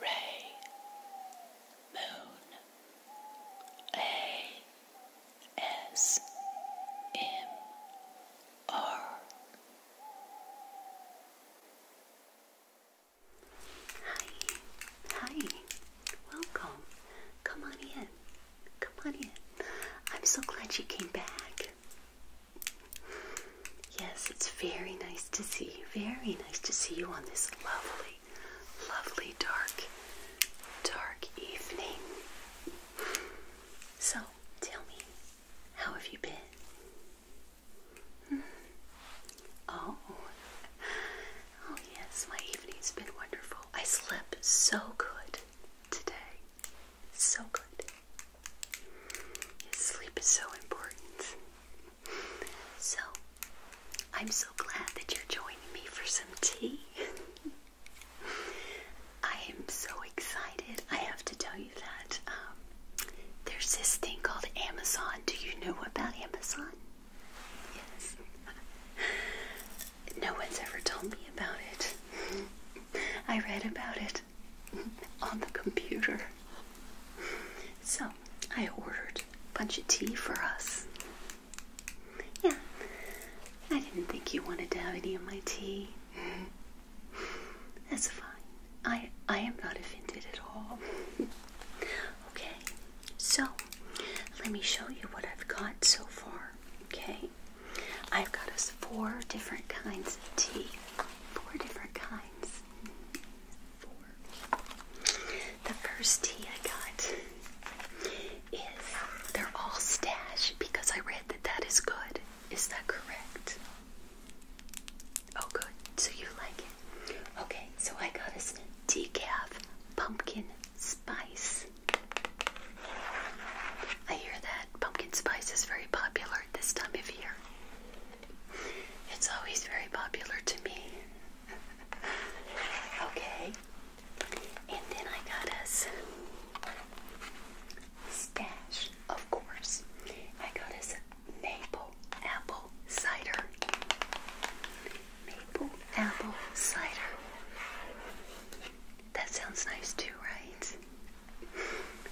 Ray, Moon, A, S, M, R. Hi, hi, welcome. Come on in. Come on in. I'm so glad you came back. Yes, it's very nice to see you. Very nice to see you on this lovely, lovely dark, dark evening. So, tell me, how have you been? Hmm. Oh, oh yes, my evening's been wonderful. I slept so good today. So good sleep is so important. So, I'm so glad that you're joining me for some tea. I am so excited. I have to tell you that um, there's this thing called Amazon. Do you know about Amazon? Yes. no one's ever told me about it. I read about it on the computer. So I ordered a bunch of tea for us. Yeah, I didn't think you wanted to have any of my tea. That's fine. I I am not offended at all. okay, so let me show you what I've got so far. Okay. I've got us four different kinds of tea. Four different kinds. Four. The first tea I got is they're all stash because I read that that is good. Is that correct? Oh, good. So you like it. Okay, so I got us decaf pumpkin spice I hear that pumpkin spice is very popular at this time of year. It's always very popular to me. okay. And then I got us stash, of course. I got us maple apple cider. Maple apple cider. That sounds nice too, right?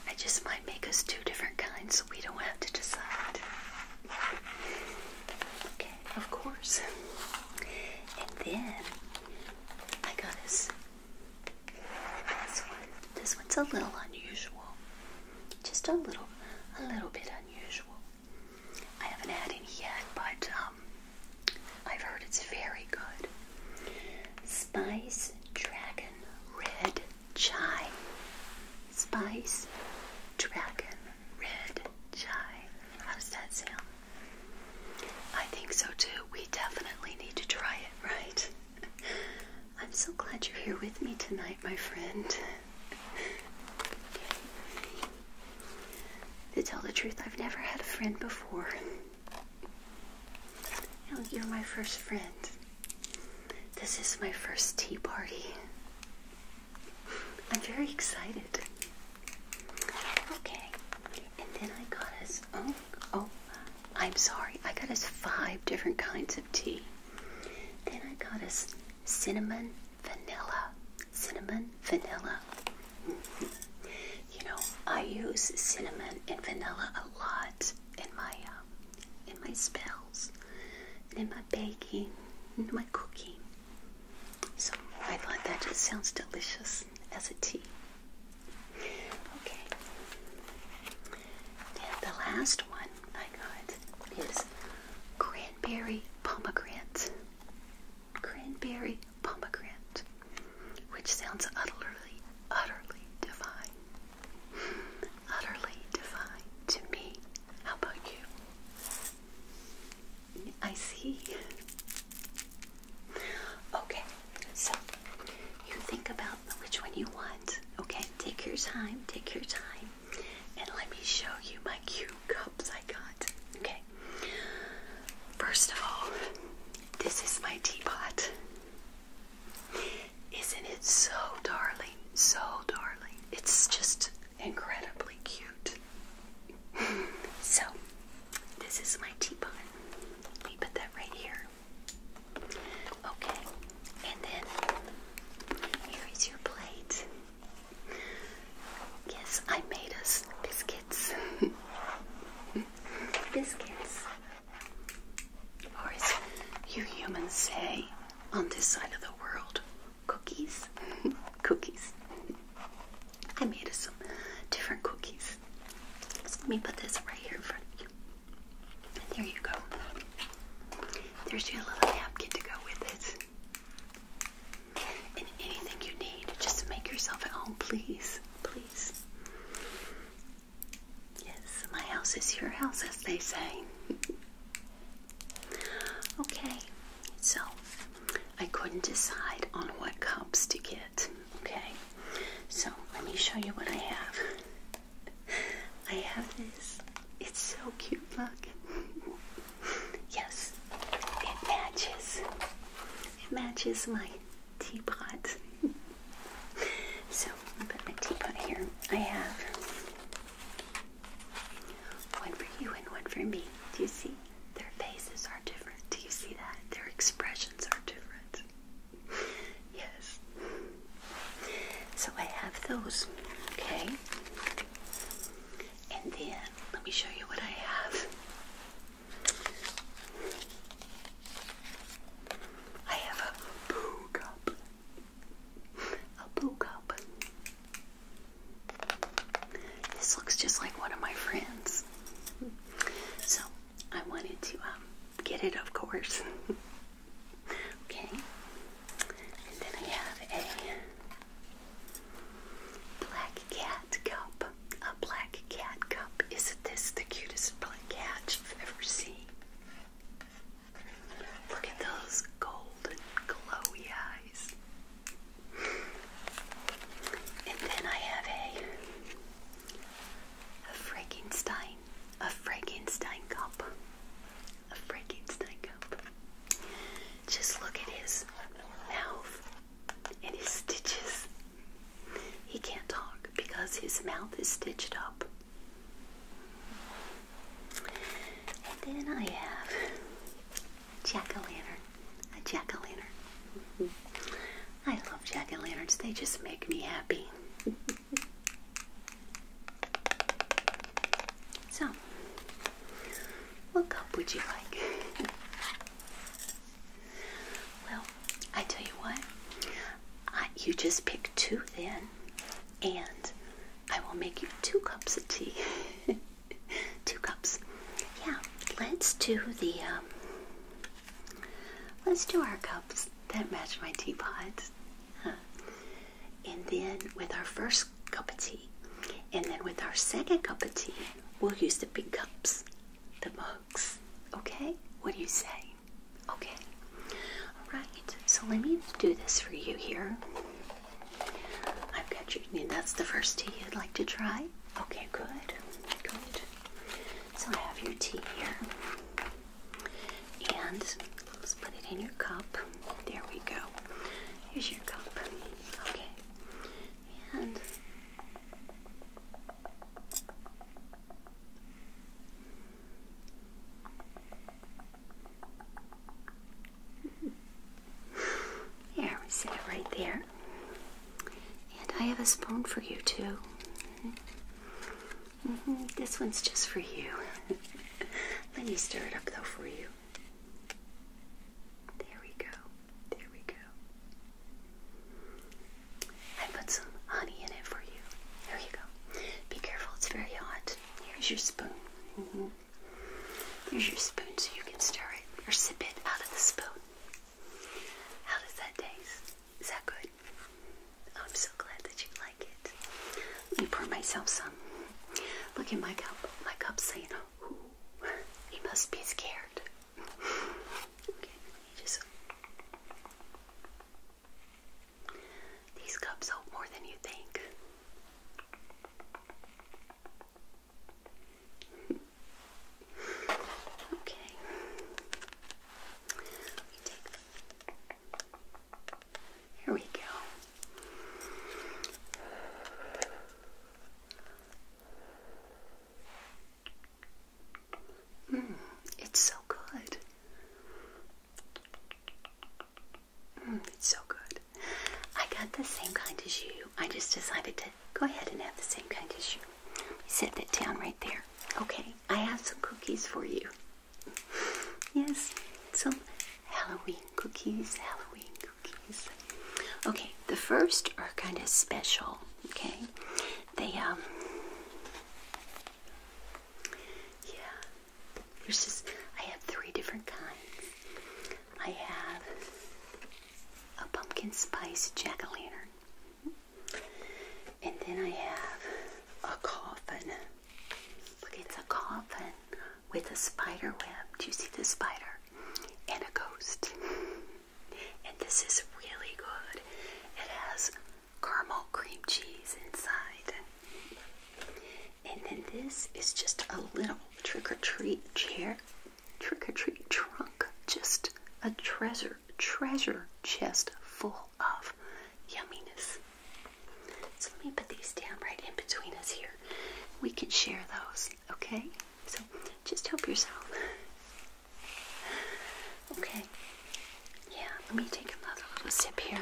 I just might make us two different kinds so we don't have to decide. Okay, of course. And then I got us this one. This one's a little unusual. Just a little, a little bit unusual. I haven't had any yet, but um, um, I've heard it's very good. Spice Dragon Red Chai. Spice Dragon Red Chai. How does that sound? I think so too. We definitely need to try it, right? I'm so glad you're here with me tonight, my friend. To tell the truth, I've never had a friend before. You are my first friend. This is my first tea party. I'm very excited. Okay, and then I got us, oh, oh, I'm sorry, I got us five different kinds of tea. Then I got us cinnamon vanilla, cinnamon vanilla, you know, I use cinnamon and vanilla a lot in my um, in my spells, and in my baking, in my cooking. So I thought that just sounds delicious as a tea. Okay. And the last one I got is cranberry pomegranate. Cranberry pomegranate, which sounds utterly, utterly divine. Utterly divine to me. How about you? I see. Okay, so you think about which one you want. Okay, take your time, take your time, and let me show you my cute cup. Okay. First of all, this is my teapot. Isn't it so darling? So darling. It's just incredibly cute. So, this is my teapot. Let put that right here. Okay, and then here is your plate. Yes, I made us biscuits. biscuits. Or as you humans say on this side of the world, cookies. cookies. I made us some different cookies. let me put this right here in front of you. There you go. There's your little napkin to go with it and anything you need. Just make yourself at home, please. Please. Yes, my house is your house, as they say. okay, so I couldn't decide on what cups to get. Okay, so let me show you what I have. I have this. It's so cute, look. Yes, it matches. It matches my teapot. so I put my teapot here. I have one for you and one for me. Do you see? Their faces are different. Do you see that? Their expressions are different. yes. So I have those. Okay. And then let me show you what I have. I have a poo cup. A poo cup. This looks just like one of my friends. So I wanted to um, get it, of course. okay. And then I have a Black cat cup. A black cat cup. Isn't this the cutest black cat you've ever seen? Look at those golden glowy eyes. And then I have a a Frankenstein, a Frankenstein cup, a Frankenstein cup. Just look at his mouth and his stitches. He can't talk because his mouth is stitched up. And then I have jack o' lantern. A jack o' lantern. I love jack o' lanterns, they just make me happy. so, what cup would you like? well, I tell you what, you just pick two then, and I will make you two cups of tea. two cups. Yeah, let's do the, um, let's do our cups that match my teapot. And then with our first cup of tea, and then with our second cup of tea, we'll use the big cups, the mugs. Okay? What do you say? Okay. Alright, so let me do this for you here. I've got you. That's the first tea you'd like to try? Okay, good. Good. So I have your tea here. And let's put it in your cup. There we go. Here's your cup. Okay and there we sit right there. And I have a spoon for you too. Mm-hmm. This one's just for you. Let me stir it up though for you. There we go. There we go. I put some honey in it for you. There you go. Be careful, it's very hot. Here's your spoon. Mm-hmm. Here's your spoon so you can stir it or sip it out of the spoon. How does that taste? Is that good? Oh, I'm so glad that you like it. Let me pour myself some. Look at my cup. My cup's saying, Ooh, he must be scared. okay, just. These cups hold more than you think. okay. Let me take. Here we go. Mm, it's so good. Mm, it's so good. I got the same kind as you. I just decided to go ahead and have the same kind as you. Set that down right there. Okay, I have some cookies for you. Yes, some Halloween cookies, Halloween Okay, the first are kind of special. Okay, they um, yeah. There's just I have three different kinds. I have a pumpkin spice jack o' lantern, and then I have a coffin. Look, it's a coffin with a spider web. Do you see the spider? And a ghost. And this is really good. It has caramel cream cheese inside. And then this is just a little trick or treat chair, trick or treat trunk, just a treasure treasure chest full of yumminess. So let me put these down right in between us here. We can share those, okay? So just help yourself. Okay. Yeah, let me take another little sip here.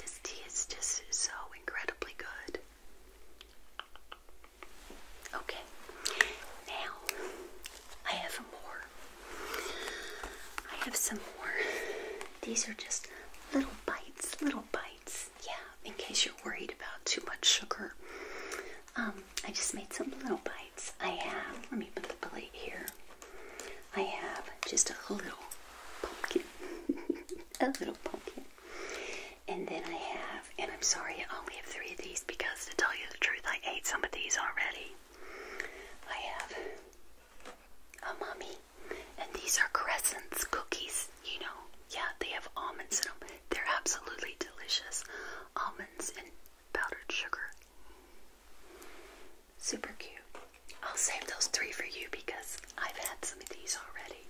This tea is just so incredibly good. Okay, now I have more. I have some more. These are just Little bites, little bites. Yeah, in case you're worried about too much sugar. Um, I just made some little bites. I have, let me put the plate here. I have just a little pumpkin. a little pumpkin. And then I have, and I'm sorry, I only have three of these because to tell you the truth, I ate some of these already. I have Oh, mommy. And these are crescents cookies, you know. Yeah, they have almonds in them. They're absolutely delicious. Almonds and powdered sugar. Super cute. I'll save those three for you because I've had some of these already.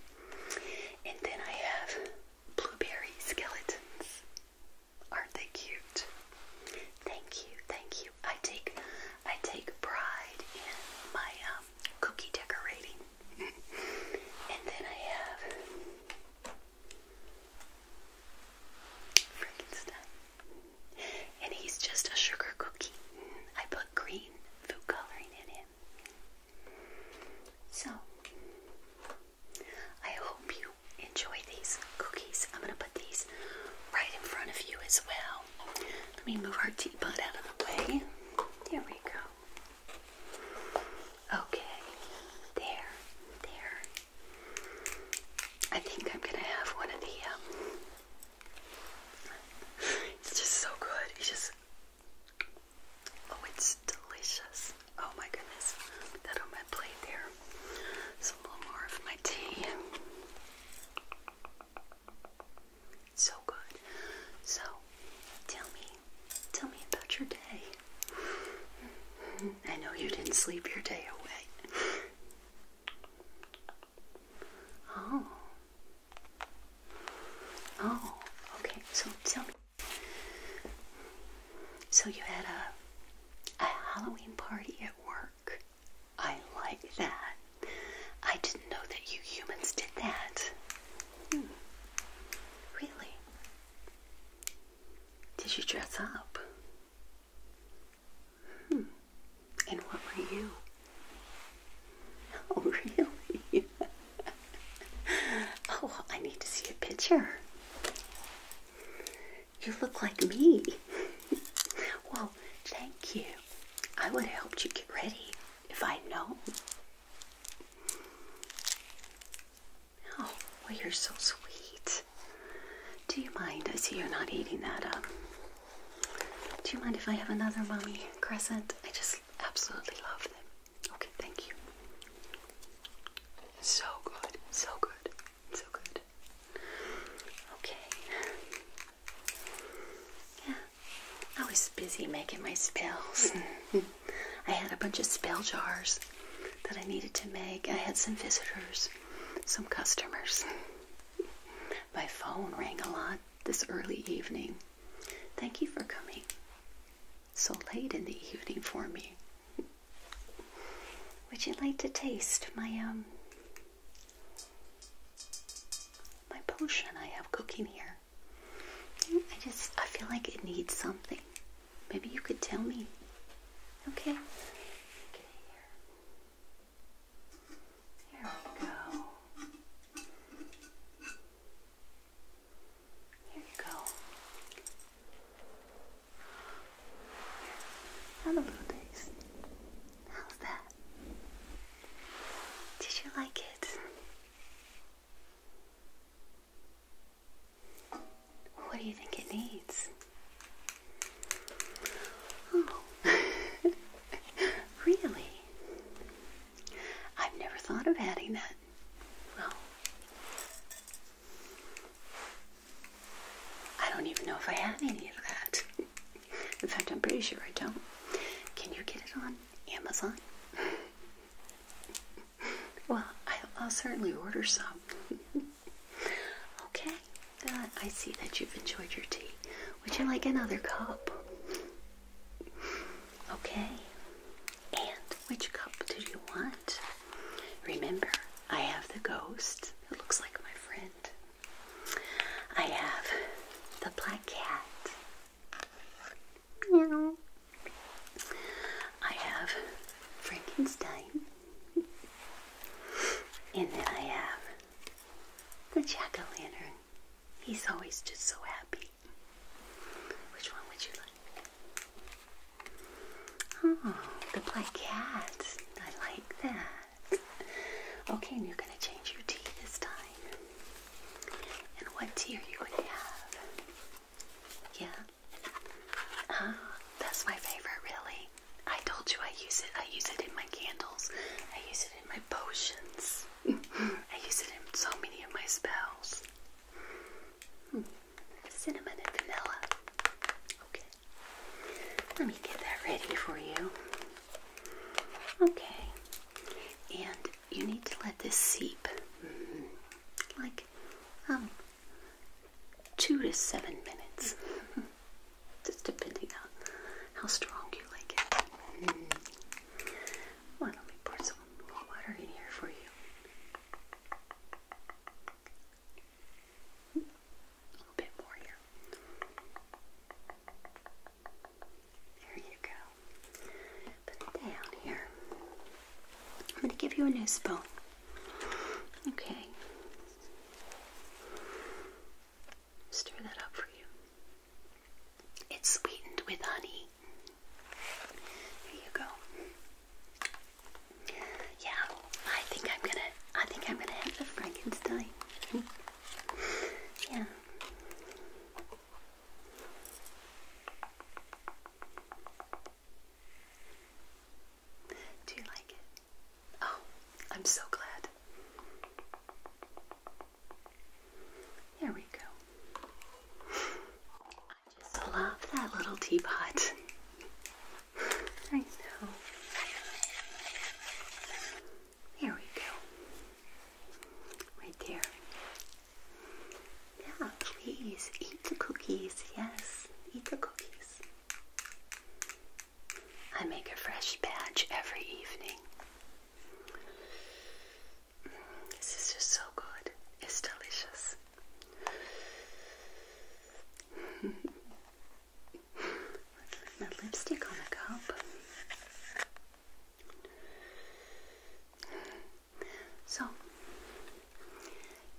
And then I have blueberry skeletons. Aren't they cute? Thank you, thank you. I take I take pride in my um, cookie decorating. and then I have Frankenstein. And he's just a sugar cookie. I put green food coloring in him. So I hope you enjoy these cookies. I'm going to put these right in front of you as well let me move our teapot out of the way. There we go. Okay. There. There. I think I'm gonna have one of the um, It's just so good. It's just Oh, it's delicious. Oh my goodness. that on my plate there. Some more of my tea. So good. So, tell me, tell me about your day. I know you didn't sleep your day away. Oh. Oh, okay. So tell me. So you had a a Halloween party at work. I like that. I didn't know that you humans did that. Hmm. Really? Did you dress up? Hmm. And what were you? Oh, really? oh, I need to see a picture. You look like me. well, thank you. I would have helped you get ready if i know. known. Oh, well, you're so sweet. Do you mind? I see you're not eating that up. Um, do you mind if I have another mommy crescent? I just absolutely love them. Okay, thank you. So good, so good. So good. Okay. Yeah. I was busy making my spells. I had a bunch of spell jars that I needed to make. I had some visitors, some customers. My phone rang a lot this early evening. Thank you for coming so late in the evening for me. Would you like to taste my um my potion I have cooking here. I just, I feel like it needs something. Maybe you could tell me. Okay. Here we go. Here you go and a little taste. How's that? Did you like it? What do you think it needs? Oh, really? I've never thought of adding that. Well, I don't even know if I have any of that. In fact, I'm pretty sure I don't. Can you get it on Amazon? well, I'll, certainly order some. okay, I see that you've enjoyed your tea. Would you like another cup? Okay, and which cup do you want? Remember, I have the ghost that looks like my friend. I have the black cat. Meow. I have Frankenstein. And then I have the jack o' lantern. He's always just so happy. Which one would you like? Oh, the black cats. I like that. Okay, and you're going to change your tea this time. And what tea are you going to have? Yeah? Uh, that's my favorite, really. I told you I use it. I use it in my candles. I use it in my potions. I use it in so many of my spells. Hmm. Cinnamon and vanilla. Okay. Let me get that ready for you. Okay. And you need to let this seep mm-hmm, like um two to seven minutes. Just depending on how strong you like it. Mm let me pour some more water in here for you. A little bit more here. There you go. Put down here. I'm going to give you a new spoon. Okay. Stir that up for you. It's sweetened with honey. Here you go. Yeah, I think I'm gonna. I think I'm gonna have the Frankenstein. yeah. Do you like it? Oh, I'm so glad. There we go. I just love that little teapot. I know. There we go. Right there. Yeah, please eat the cookies. Yes, eat the cookies. I make a fresh batch every evening. Mm, this is just so good. It's delicious my lipstick on a cup. So,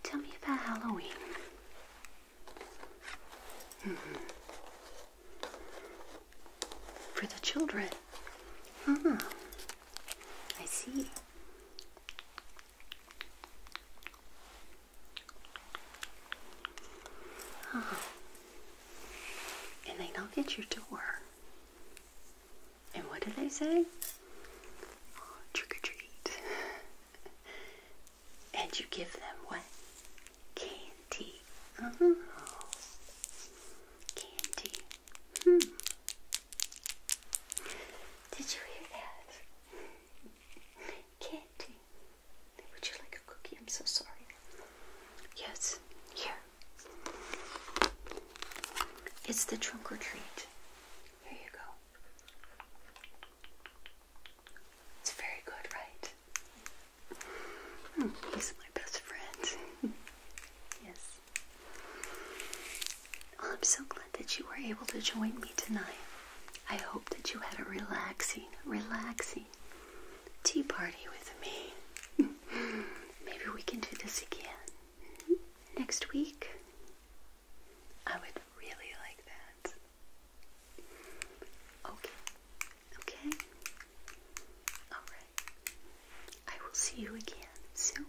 tell me about Halloween. For the children. Ah, I see. Uh-huh. And they knock at your door. And what do they say? trick or treat. and you give them what? Candy. Oh. Candy. Hmm. Did you hear that? Candy. Would you like a cookie? I'm so sorry. Yes, here. It's the trunk or treat. Here you go. It's very good, right? Hmm, he's my best friend. yes. I'm so glad that you were able to join me tonight. I hope that you had a relaxing, relaxing tea party with me. Maybe we can do this again next week. I would really like that. Okay. Okay. All right. I will see you again soon.